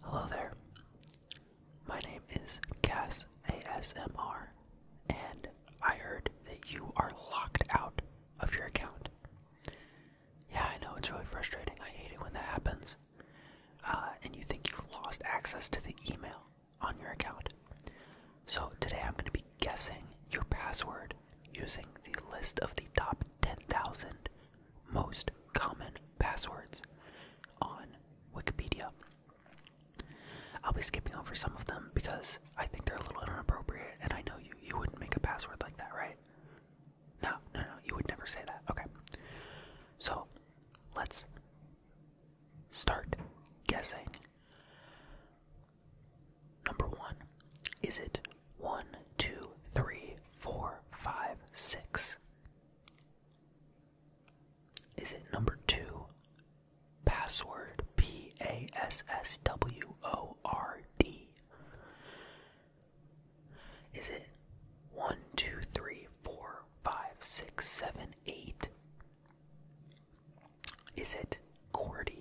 Hello there. My name is Cass ASMR, and I heard that you are locked out of your account. Yeah, I know it's really frustrating. I hate it when that happens. Uh, and you think you've lost access to the email on your account. So today I'm going to be guessing your password using the list of the top 10,000 most common passwords on Wikipedia. I'll be skipping over some of them because I think they're a little inappropriate, and I know you you wouldn't make a password like that, right? No, no, no, you would never say that. Okay. So let's start guessing. Number one, is it one, two, three, four, five, six. Is it number two? Password P A S S W O R D. Is it one, two, three, four, five, six, seven, eight? Is it QWERTY?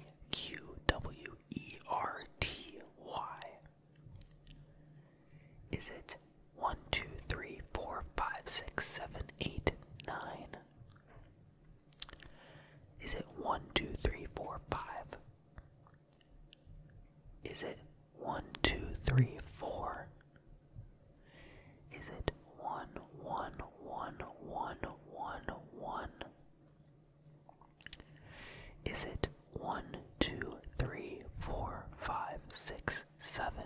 Is it 1, 2, 3, 4, 5, 6, 7, 8, 9? Is it 1, 2, 3, 4, 5? Is it 1, 2, 3, 4? Is it 1, 1, 1, 1, 1, 1, 1? Is it one, two, three, four, five, six, seven?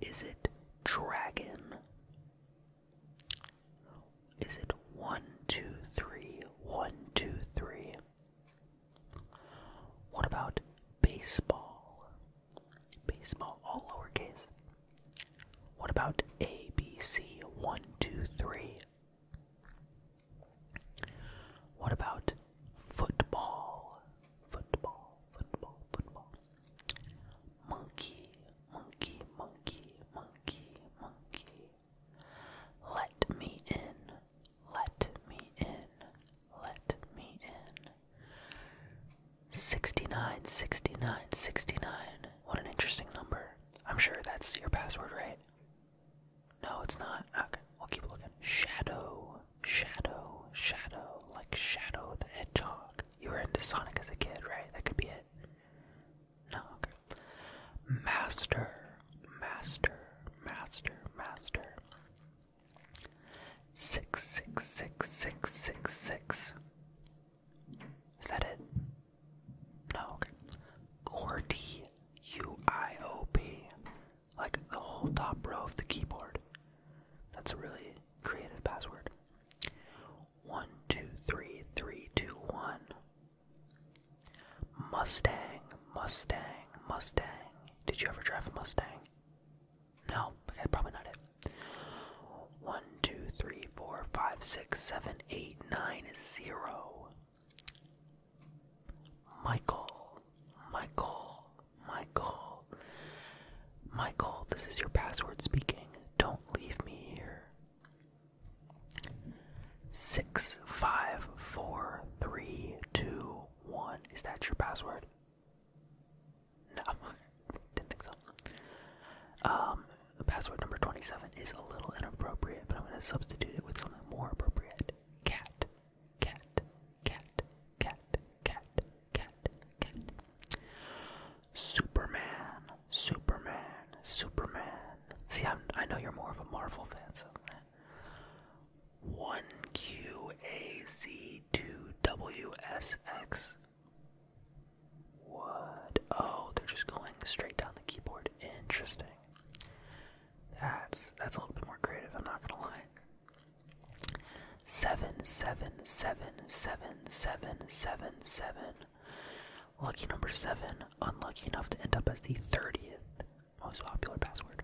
Is it dragon? Is it one, two, three, one, two, three? What about baseball? Baseball, all lowercase. What about A, B, C, one, two, three? What about football? Football, football, football. Monkey, monkey, monkey, monkey, monkey. Let me in, let me in, let me in. 69, 69, 69. What an interesting number. I'm sure that's your password, right? No, it's not. Okay, we'll keep looking. Shadow, shadow, shadow, like Shadow the Hedgehog. You were into Sonic as a kid, right? That could be it. No, okay. Master, master, master, master. Six, six, six, six, six, six. Is that it? No, okay. Gordy, UIOP, like the whole top row of the keyboard. That's a really creative password. One, two, three, three, two, one. Mustang, Mustang, Mustang. Did you ever drive a Mustang? No, okay, probably not it. One, two, three, four, five, six, seven, eight, nine, zero. Michael, Michael, Michael, Michael, this is your password speaking. Don't leave me here. Six, five, four, three, two, one. Is that your password? No, didn't think so. Um, password number 27 is a little inappropriate, but I'm going to substitute it with something more appropriate. Cat, cat, cat, cat, cat, cat, cat. Superman, Superman, Superman. See, i know you're more of a Marvel fan, so. 1QAZ2WSX. What? Oh, they're just going straight down the keyboard. Interesting. That's that's a little bit more creative, I'm not gonna lie. Seven, seven, seven, seven, seven, seven, seven. Lucky number seven, unlucky enough to end up as the 30th most popular password.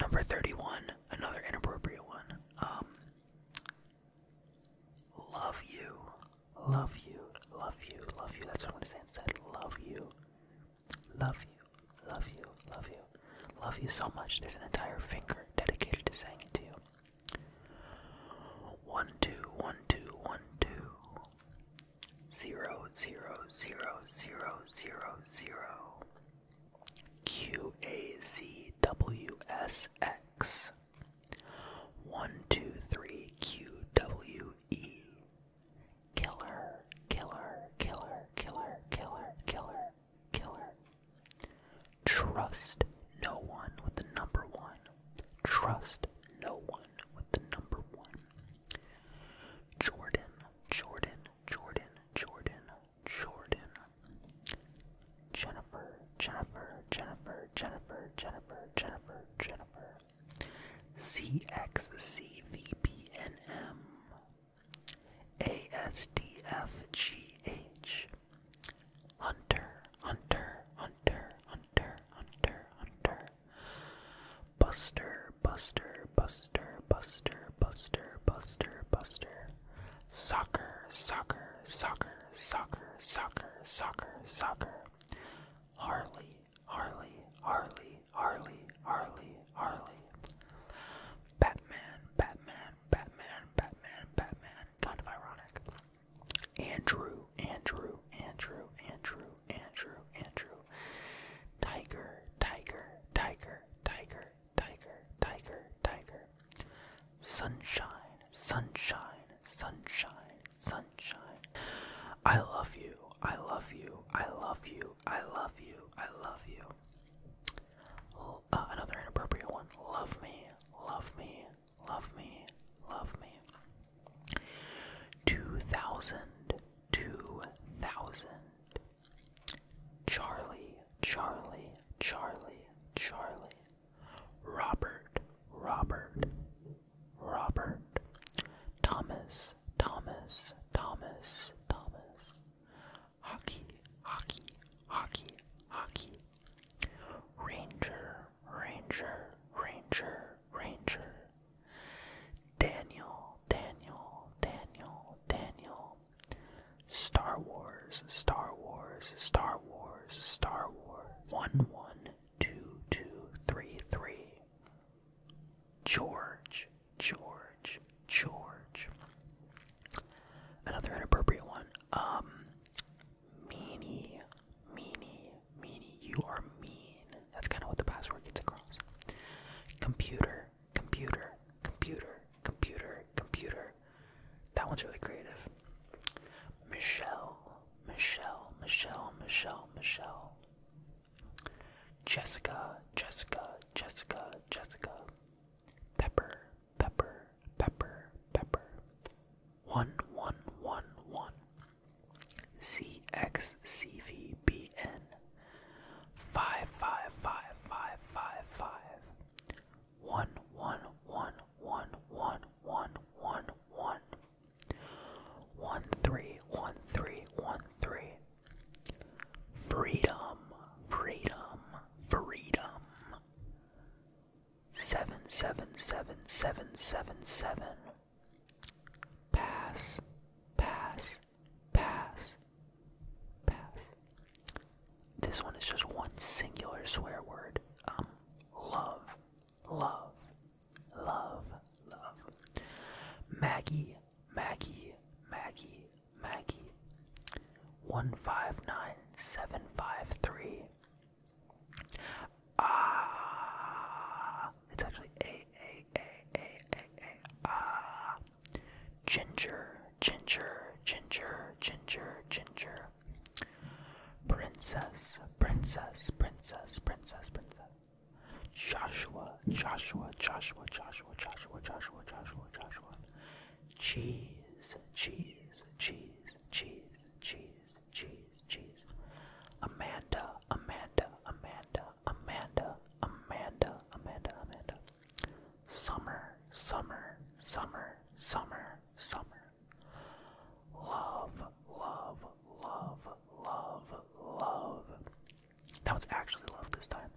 Number 31, another inappropriate one. Um, love you, love you, love you, love you. That's what I want to say instead. Love you. Love you, love you, love you, love you so much. There's an entire finger dedicated to saying it to you. One, two, one, two, one, two. Zero, zero, zero, zero, zero, zero. Q A Z W S X. One, two, three, Q W E. Killer, killer, killer, killer, killer, killer, kill Trust no one with the number one. Trust no one with the number one. Jordan, Jordan, Jordan, Jordan, Jordan. Jennifer, Jennifer, Jennifer, Jennifer, Jennifer, Jennifer, Jennifer. CXCVPNM, ASDFGH, Hunter, Hunter, Hunter, Hunter, Hunter, Hunter, Buster, Buster, Buster, Buster, Buster, Buster, Buster, Soccer, Soccer, Soccer, Soccer, Soccer, Soccer, Soccer, Harley, Harley, Harley, Harley, Harley, Harley. Batman, Batman, Batman, Batman, Batman. Kind of ironic. Andrew, Andrew, Andrew, Andrew, Andrew, Andrew. Tiger, Tiger, Tiger, Tiger, Tiger, Tiger, Tiger. Sunshine, sunshine, sunshine, sunshine. I love you, I love you, I love you, I love you, I love you. Uh, another inappropriate one. Love me, love me, love me, love me. 2000, 2000. Charlie, Charlie, Charlie, Charlie. Robert, Robert, Robert. Thomas, Thomas, Thomas, Thomas. Hockey, hockey, hockey, hockey. Ranger, Ranger, Ranger, Ranger. Daniel, Daniel, Daniel, Daniel. Star Wars, Star Wars, Star Wars, Star Wars. One, one, two, two, three, three. George, George, George. Another inappropriate one. Um, meanie, meanie, meanie. You are mean. That's kind of what the password gets across. Computer, computer, computer, computer, computer. That one's really creative. Michelle, Michelle, Michelle, Michelle, Michelle. Jessica, Jessica, Jessica, Jessica. Pepper, pepper, pepper, pepper. One, one, one, one. CXCVBN. Five, five, five, five, five, five. One, one, one, one, one, one, one, one. One three one three one three. Freedom, freedom, freedom. Seven seven seven seven seven seven. Pass, pass, pass, pass. This one is just one singular swear word. Um, love, love, love, love. Maggie, Maggie, Maggie, Maggie. 159753. Ah, it's actually A, A, A, A, A, A, ah. Ginger, ginger, ginger, ginger, ginger. Princess, princess, princess, princess, princess. Joshua, Joshua, Joshua, Joshua, Joshua, Joshua, Joshua, Joshua. Cheese, cheese, cheese, cheese, cheese, cheese, cheese. Amanda, Amanda, Amanda, Amanda, Amanda, Amanda, Amanda. Summer, summer, summer, summer, summer. Love, love, love, love, love. That was actually love this time.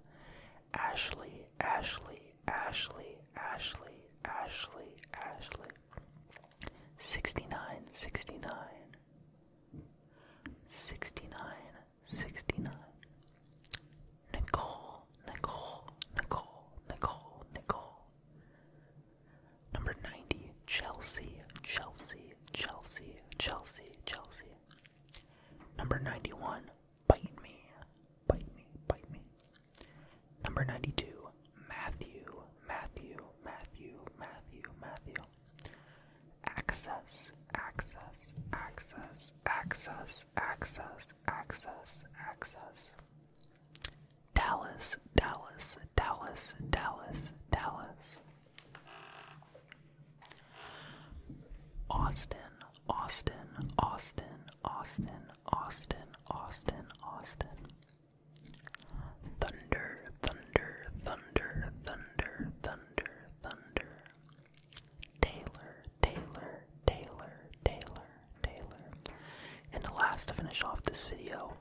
Ashley, Ashley, Ashley, Ashley, Ashley, Ashley. 69, 69. 69, 69. Nicole, Nicole, Nicole, Nicole, Nicole. Number 90, Chelsea, Chelsea, Chelsea, Chelsea, Chelsea, Number 91, Bite Me, Bite Me, Bite Me. Number 92, Matthew, Matthew, Matthew, Matthew, Matthew. Access, access, access, access, access, access, access. Dallas, Dallas, Dallas, Dallas, Dallas. Austin, Austin, Austin, Austin, Austin, Austin, Austin. Thunder, thunder, thunder, thunder, thunder, thunder. Taylor, Taylor, Taylor, Taylor, Taylor. And the last to finish off this video,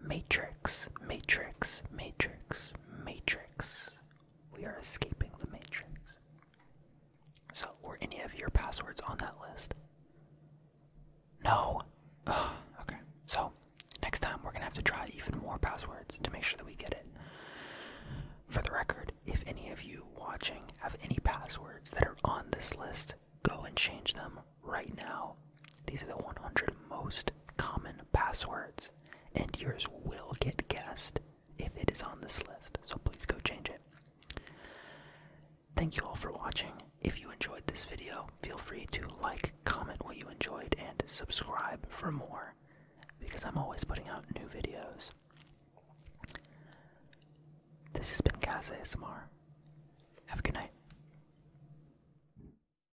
Matrix matrix, matrix, matrix, We are escaping the matrix. So, were any of your passwords on that list? No. okay. So, next time we're gonna have to try even more passwords to make sure that we get it. For the record, if any of you watching have any passwords that are on this list, go and change them right now these are the 100 most common passwords, and yours will get guessed if it is on this list, so please go change it. Thank you all for watching. If you enjoyed this video, feel free to like, comment what you enjoyed, and subscribe for more because I'm always putting out new videos. This has been Kaz ASMR. Have a good night.